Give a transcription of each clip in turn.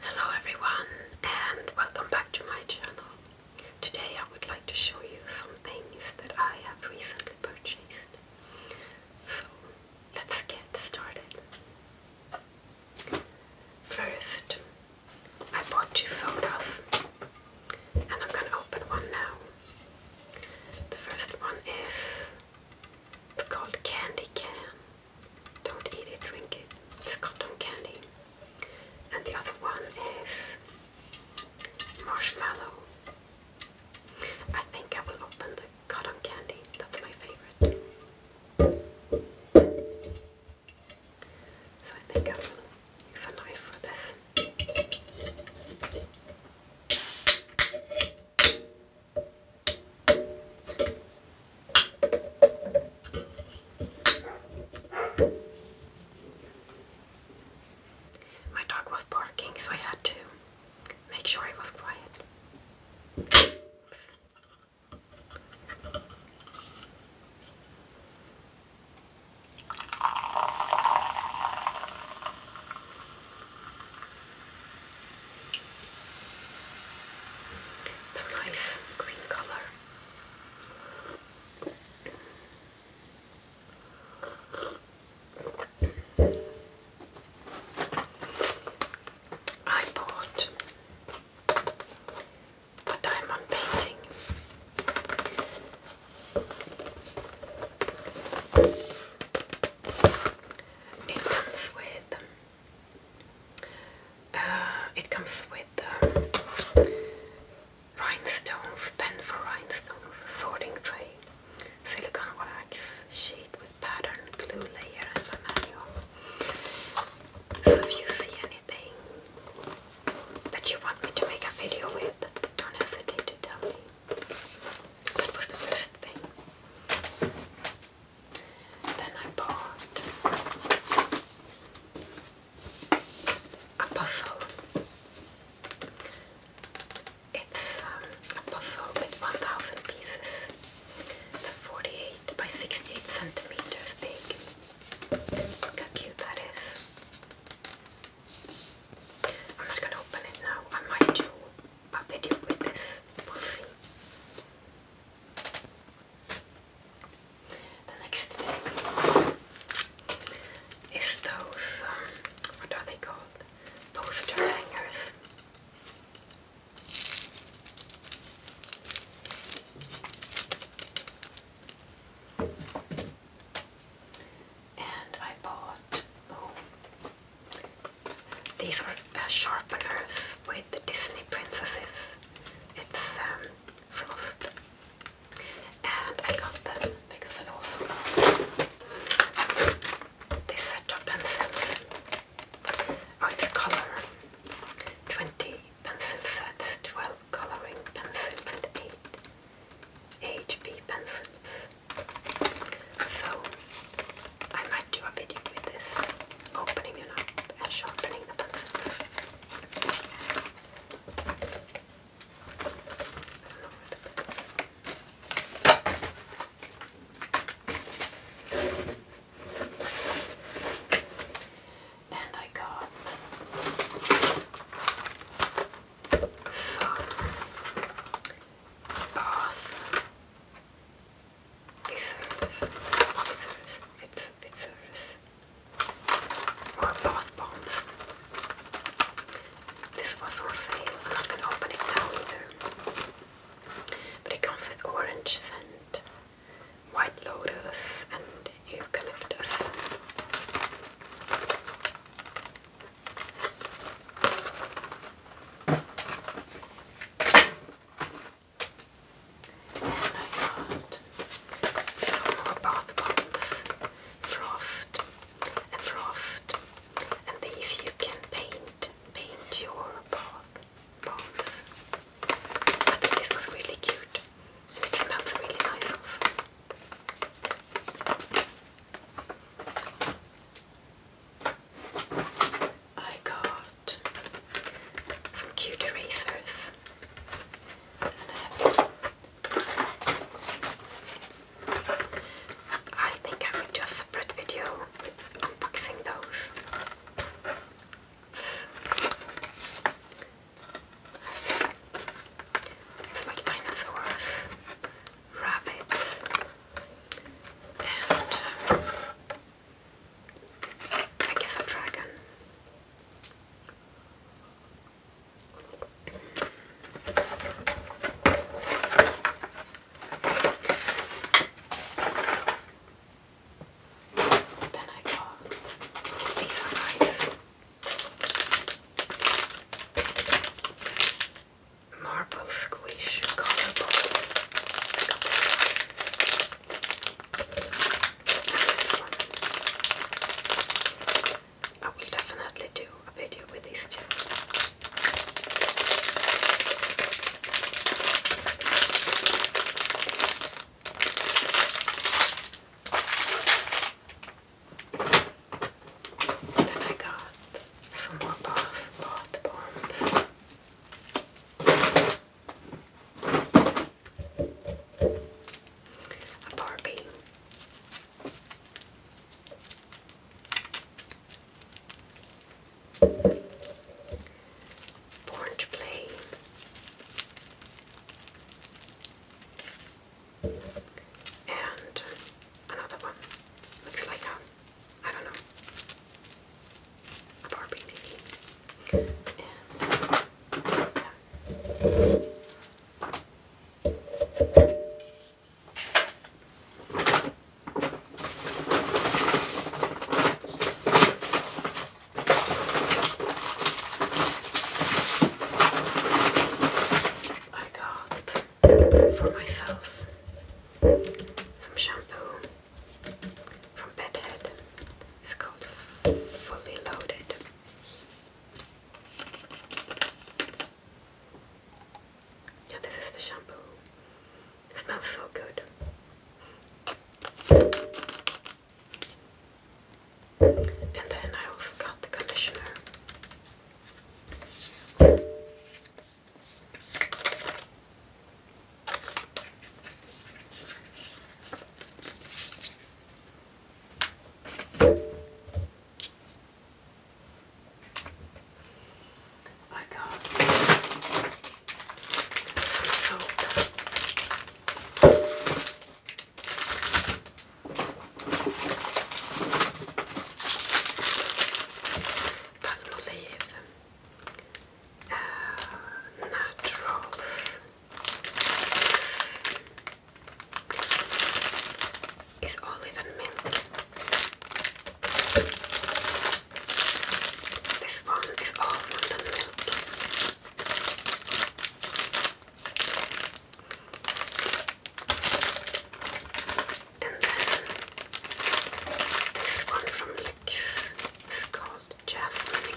Hello everyone and welcome back to my channel. Today I would like to show you some things that I have recently purchased. So let's get started. First I bought two sodas and I'm going to open one now. The first one is it's called Candy Can don't eat it, drink it. It's cotton candy. And the other one is marshmallow. I think I will open the cotton candy. That's my favorite. So I think I will use a knife for this. My dog was barking, so I had to make sure he was quiet. The a nice green color. I bought a diamond painting. It comes with it comes with uh, rhinestones, pen for rhinestones, sorting tray, silicone wax sheet with pattern, glue layer as a manual. So if you see anything that you want me to make a video with, don't hesitate to tell me. That was the first thing. Then I bought a puzzle. It's um, a puzzle with 1,000 pieces. It's 48 by 68 centimeters big. Look how cute that is. I'm not gonna open it now. I might do a video with this. The next thing is those, um, what are they called? Poster hangers. And I bought, oh, these are uh, sharpeners with Disney princesses. It's um, Frost. And I got them because I also got this set of pencils. Oh, it's color. 20 pencil sets, 12 coloring pencils, and 8 HB pencils. So I might do a video with this, opening it up and sharpening the pencil. And I got some bath uh, Fitzurus, Fitzurus, Fitz, Fitzurus, or Bath Bombs. This was on sale, I'm not going to open it now either. But it comes with orange scent, white lotus, and eucalyptus. And I got some more bath bombs, frost and frost, and these you can paint, paint your bath bombs. I think this was really cute. it smells really nice I got from Cute Erasers. I think I will do a separate video unboxing those. It's dinosaurs, rabbits, and uh, I guess a dragon. Then I got these are nice marbles squish color ball. I got this will definitely do a video with these two. I got some more bath bombs. A Barbie. Born to play. And another one looks like that. I don't know. Barbie maybe. And yeah. got for myself some shampoo from Pet It's called Fully Loaded. Yeah, this is the shampoo. It smells so good. And then I also got the conditioner. I got soap. Palmolive uh, naturals is olive and milk. This one is almond and milk. And then this one from Lux it's called Jasmine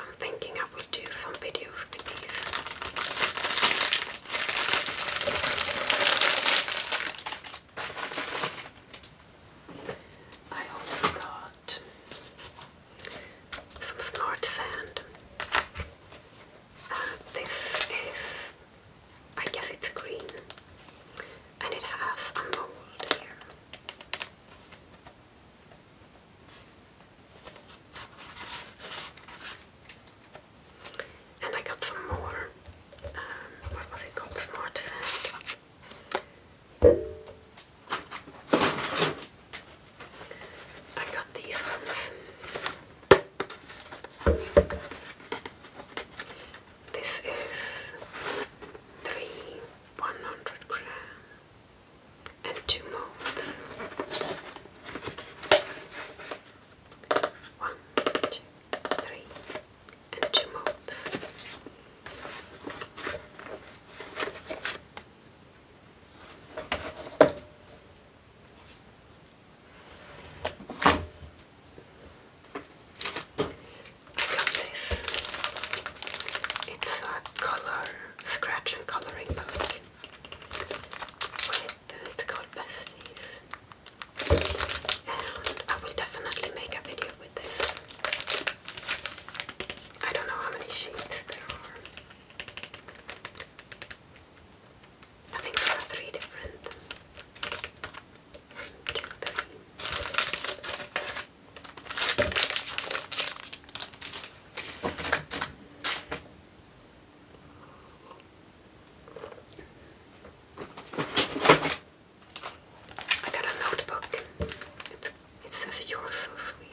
I'm thinking I will do some videos with these. I also got some snort sand this is, I guess it's green, and it has a mold here. And I got some more, um, what was it called, I got these ones. This is three 100 gram and two molds. One, two, three, and two molds. Love It's a color scratch and coloring book. Uh, it's called Besties. And I will definitely make a video with this. I don't know how many sheets there are. I think there are three different. Check them. I got a notebook. it says, You're so sweet.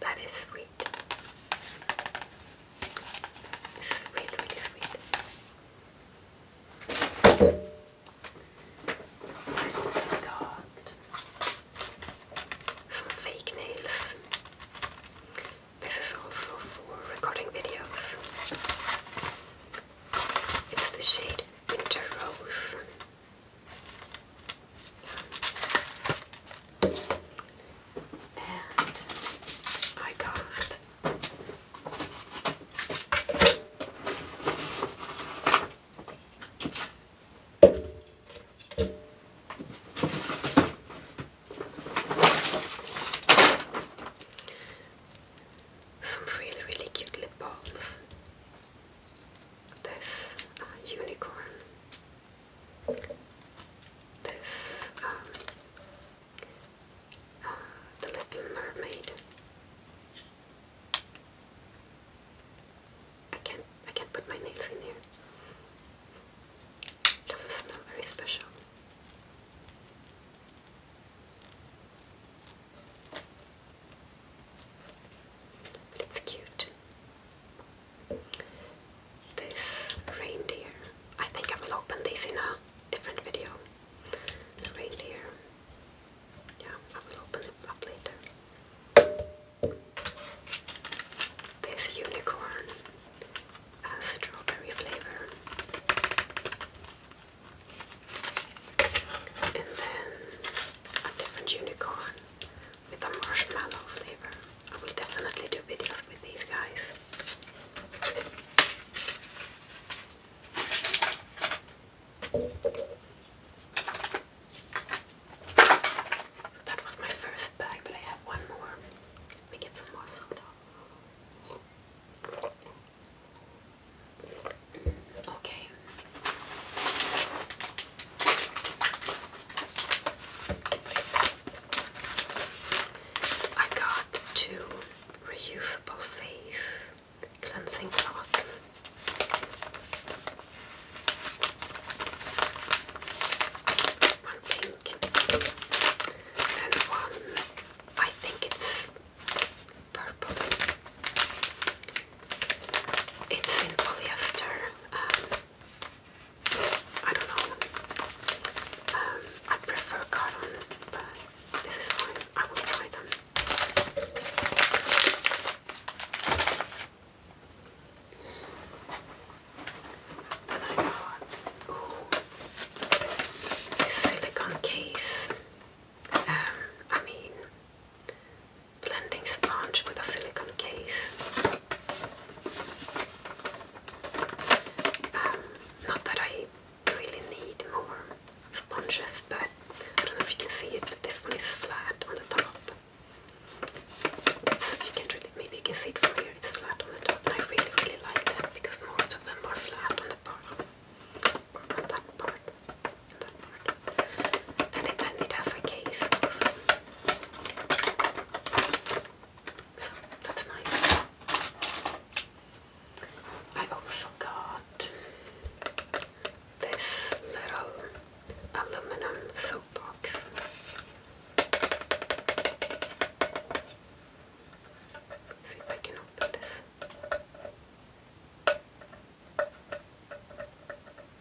That is sweet. Sweet, really sweet. I also got some fake nails. This is also for recording videos. It's the shade Winter Rose and I got some really, really cute lip balms. This uh, unicorn um, um, the Little Mermaid. I can't, I can't put my nails in here. doesn't smell very special. it's cute this reindeer. I think I will open this in a different video. reindeer. Yeah, I will open it up later. This unicorn has strawberry flavor. And then a different unicorn with a marshmallow flavor. I will definitely do videos with these guys. that was my first bag, but I have one more. Let me get some more soda. Okay. I got two reusable face cleansing cloths. One pink and one, I think it's purple. It's in polyester. Um, I don't know. Um, I prefer cotton, but this is fine. I will try them. Then I got ooh, this silicone case. Um, I mean, blending sponge with a silicone case. Um, not that I really need more sponges, but I don't know if you can see it, but this one is flat on the top. you can really, maybe see it from here, it's flat on the top, I really, really like that because most of them are flat on the bottom, on that part, that part. And it, and has a case that's nice. I also got this little aluminum soap box. see if I can open this.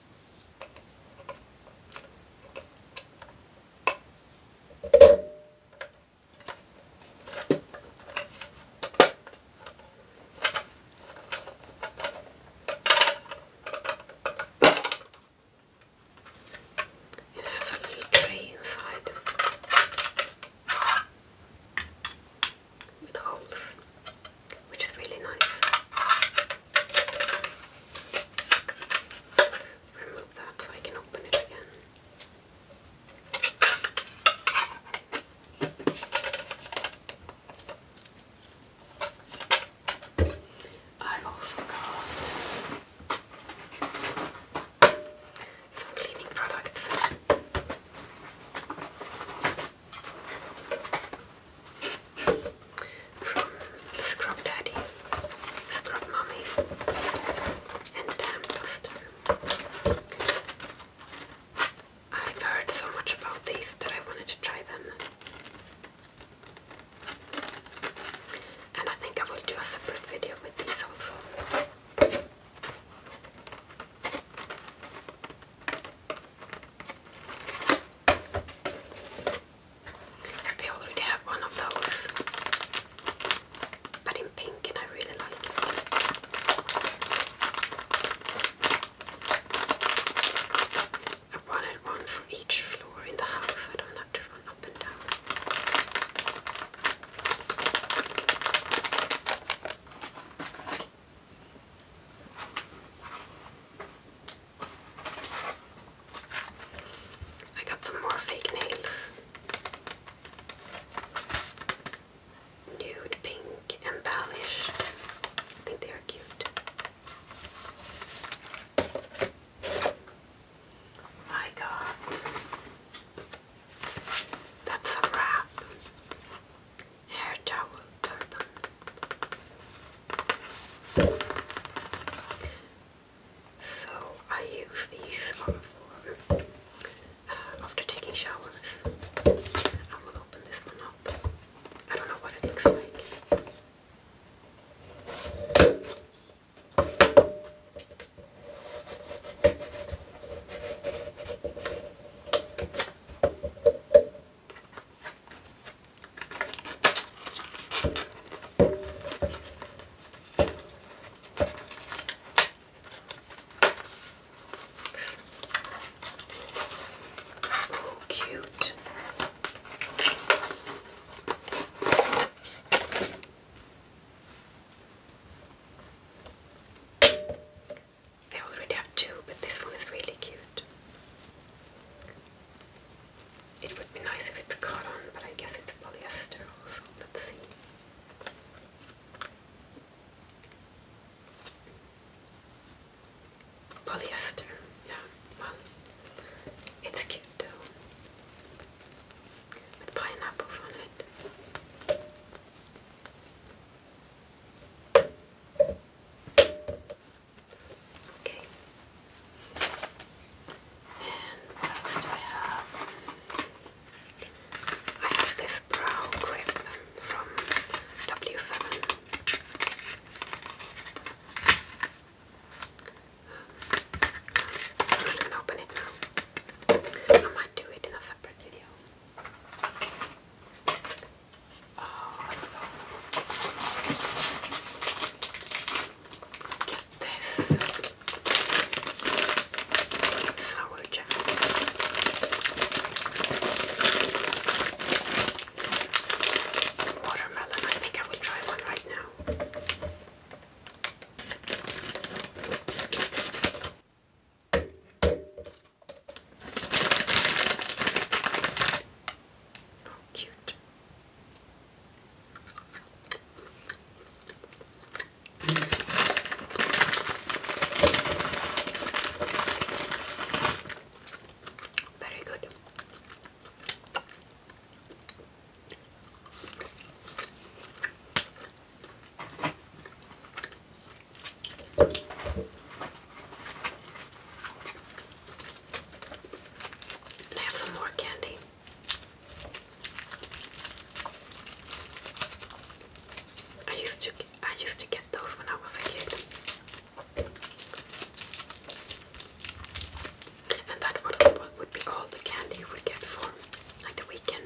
It has a little tray inside with holes, which is really nice. Remove that so I can open it again. I also got some cleaning products from Scrub Daddy, Scrub Mummy, and Dan Buster. I've heard so much about these that I wanted to try them. And I think I will do a separate video with these also. I already have one of those, but in pink, and I really like it. I wanted one for each floor in the house, I don't have to run up and down. I got some more fake nails. Nude pink embellished. I think they are cute. I got that's a wrap. Hair towel turban. So I use these on um, for uh, after taking showers. I will open this one up. I don't know what it looks like. Oh, cute. I already have two, but this one is really cute. It would be nice if it's cotton, but I guess it's polyester also. Let's see. Polyester, yeah, well, it's cute though, with pineapples on it. Okay. And what else have? I have this brow grip from W7. I'm not gonna open it now. I might do it in a separate video. Get this sour Watermelon. I think I will try one right now cute. Very good. I have some more candy. I used to I used to get those when I was a kid. And that was what would be all the candy you get for like the weekend.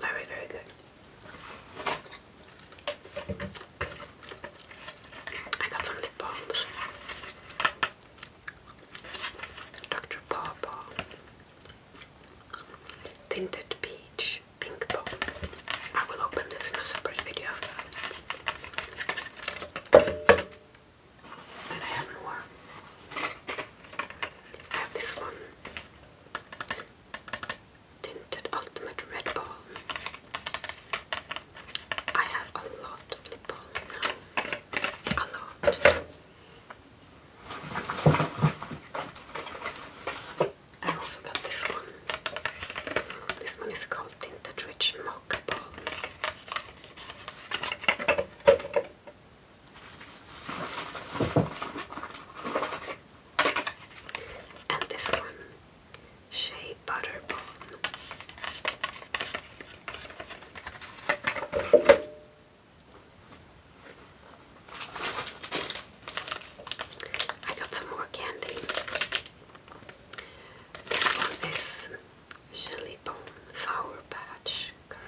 Very, very good. I got some lip balms. Dr. Paw Tinted Peach. Pink Bomb. I will open this in a separate video. Then I have more. I have this one. Tinted Ultimate Red Ball. I have a lot of lip balms now. A lot. I also got this one. This one is called Tinted Rich Mocha Balm. And this one, Shea Butter I got some more candy. This one is Jelly Bone Sour Patch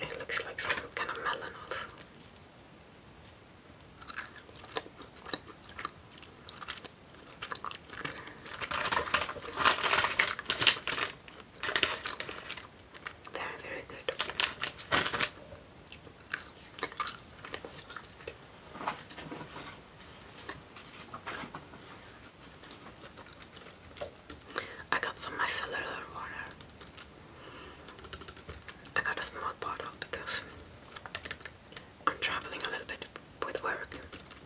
It looks like some kind of melon also. Very, very good. I got some nice micellar water. I got a small bottle because I'm traveling a little bit with work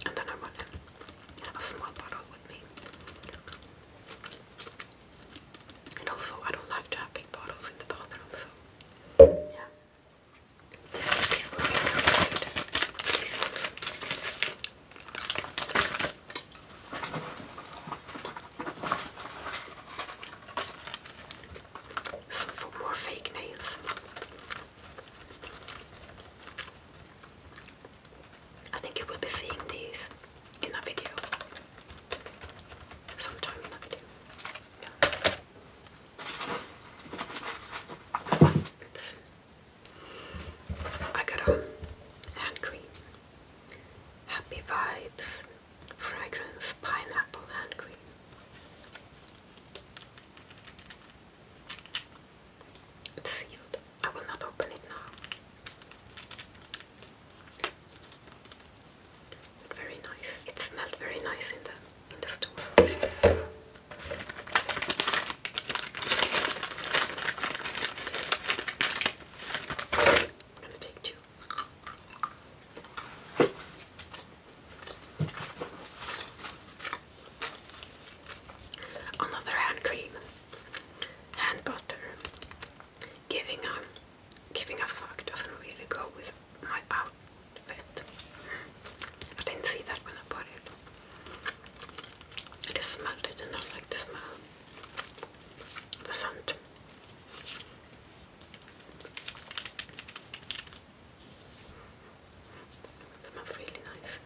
and then I want to have a small bottle with me. And also I don't like to have big bottles in the bathroom so yeah. So more fake nails. I think you will be seeing these in the video. Sometime in a video. I got a hand cream. Happy Vibes Fragrance Pineapple Hand Cream. sealed. I will not open it now. very nice. It smelled very nice in the in the store. I'm going to take two. Another hand cream, hand butter, giving a giving a fuck doesn't really go with my outfit. I didn't see that when I bought it. It just smelled it and like the smell. The scent. It smells really nice.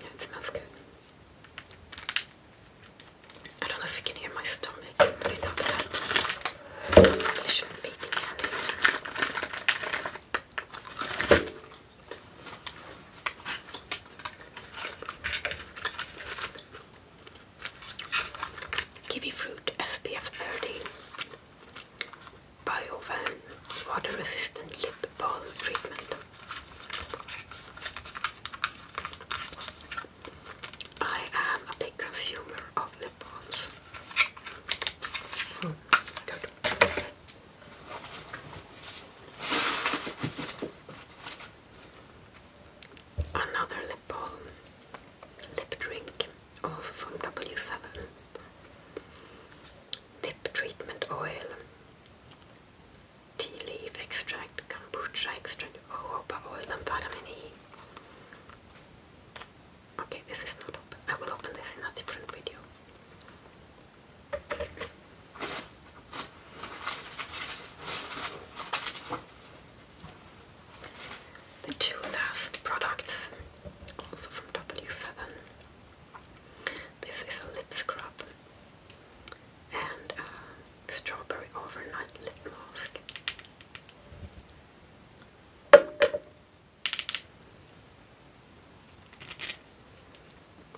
Yeah, it smells good. I don't know if you can hear my stomach, but it's upset. shouldn't be eating Kiwi fruit SPF 30 BioVan water resistant lip balm treatment. I am a big consumer of lip balms. Hmm. Another lip balm, lip drink, also from W7. Lip treatment oil, tea leaf extract, kombucha extract, Oh, purple lymphatomini. Okay, this is not open. I will open this in a different video. The two last products, also from W7. This is a lip scrub and uh, Strawberry Overnight Lip Mask.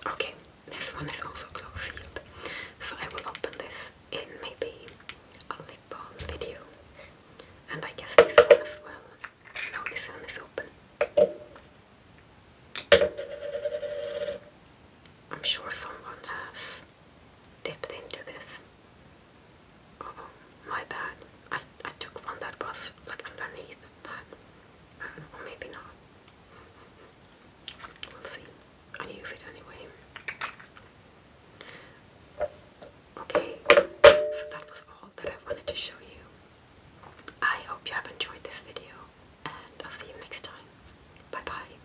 Okay, this one is also close sealed, so I will open this in maybe a lip balm video. And I guess this one as well. No, this one is open. I'm sure someone has dipped into this. Oh, my bad. I, I took one that was like underneath that. Um, or maybe not. We'll see. I use it anyway. Okay, so that was all that I wanted to show you. I hope you have enjoyed this video and I'll see you next time. Bye bye.